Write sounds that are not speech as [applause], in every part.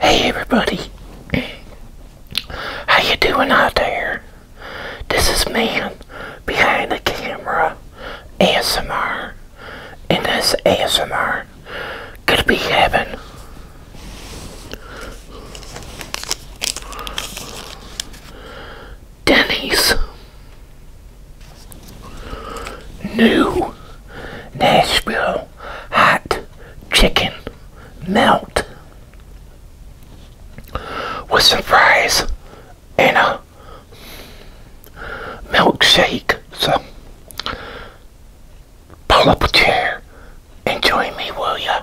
Hey everybody, how you doing out there? This is man behind the camera ASMR, and this ASMR could be heaven. Denny's new Nashville hot chicken melt with some fries and a milkshake. So pull up a chair and join me, will ya?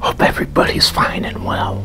Hope everybody's fine and well.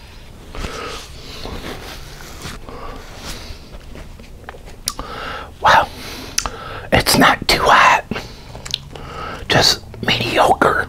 Well, it's not too hot, just mediocre.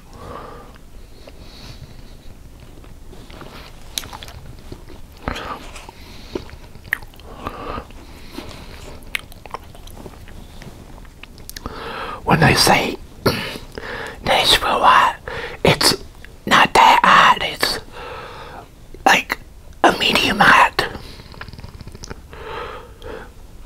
When they say for what? it's not that hot. It's like a medium hot.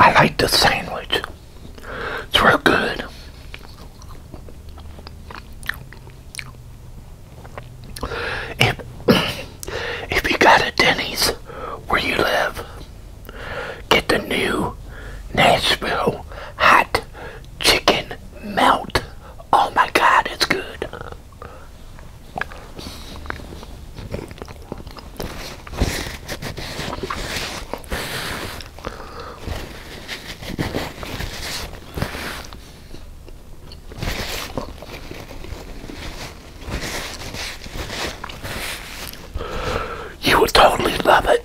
I like the sandwich. It's real good. If, [coughs] if you got a Denny's where you live, get the new Nashville hot chicken melt. Oh my god, it's good. You would totally love it.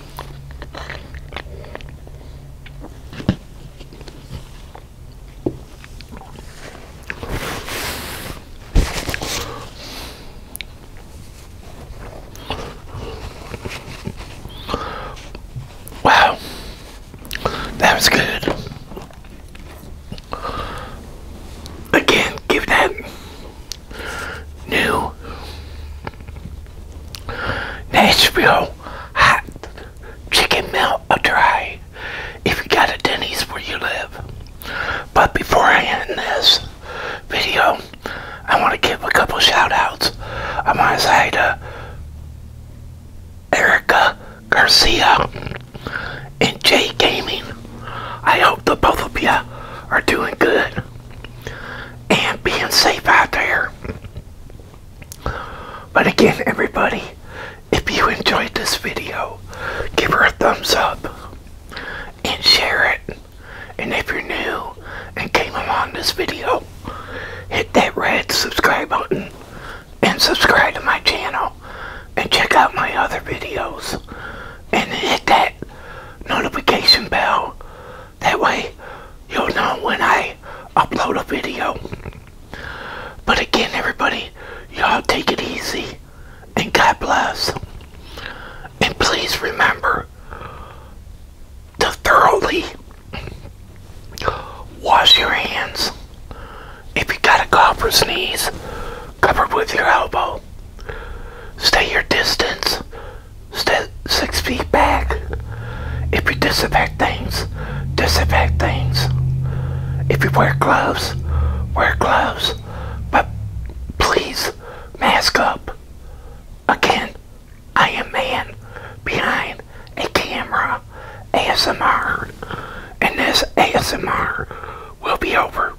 Wow, that was good. Again, give that new Nashville hot chicken melt a try if you got a Denny's where you live. But before I end this video, I want to give a couple shout outs i my side to uh, Erica Garcia and Jay Gaming. I hope the both of you are doing good and being safe out there. But again, everybody, if you enjoyed this video, give her a thumbs up and share it. And if you're new and came along this video, hit that red subscribe button and subscribe to my channel and check out my other videos and hit that notification bell. That way you'll know when I upload a video. But again, everybody, y'all take it easy and God bless. And please remember to thoroughly wash your hands. If you got a cough or sneeze, Cover with your elbow. Stay your distance. Stay six feet back. If you disinfect things, disinfect things. If you wear gloves, wear gloves. But please, mask up. Again, I am man behind a camera ASMR. And this ASMR will be over.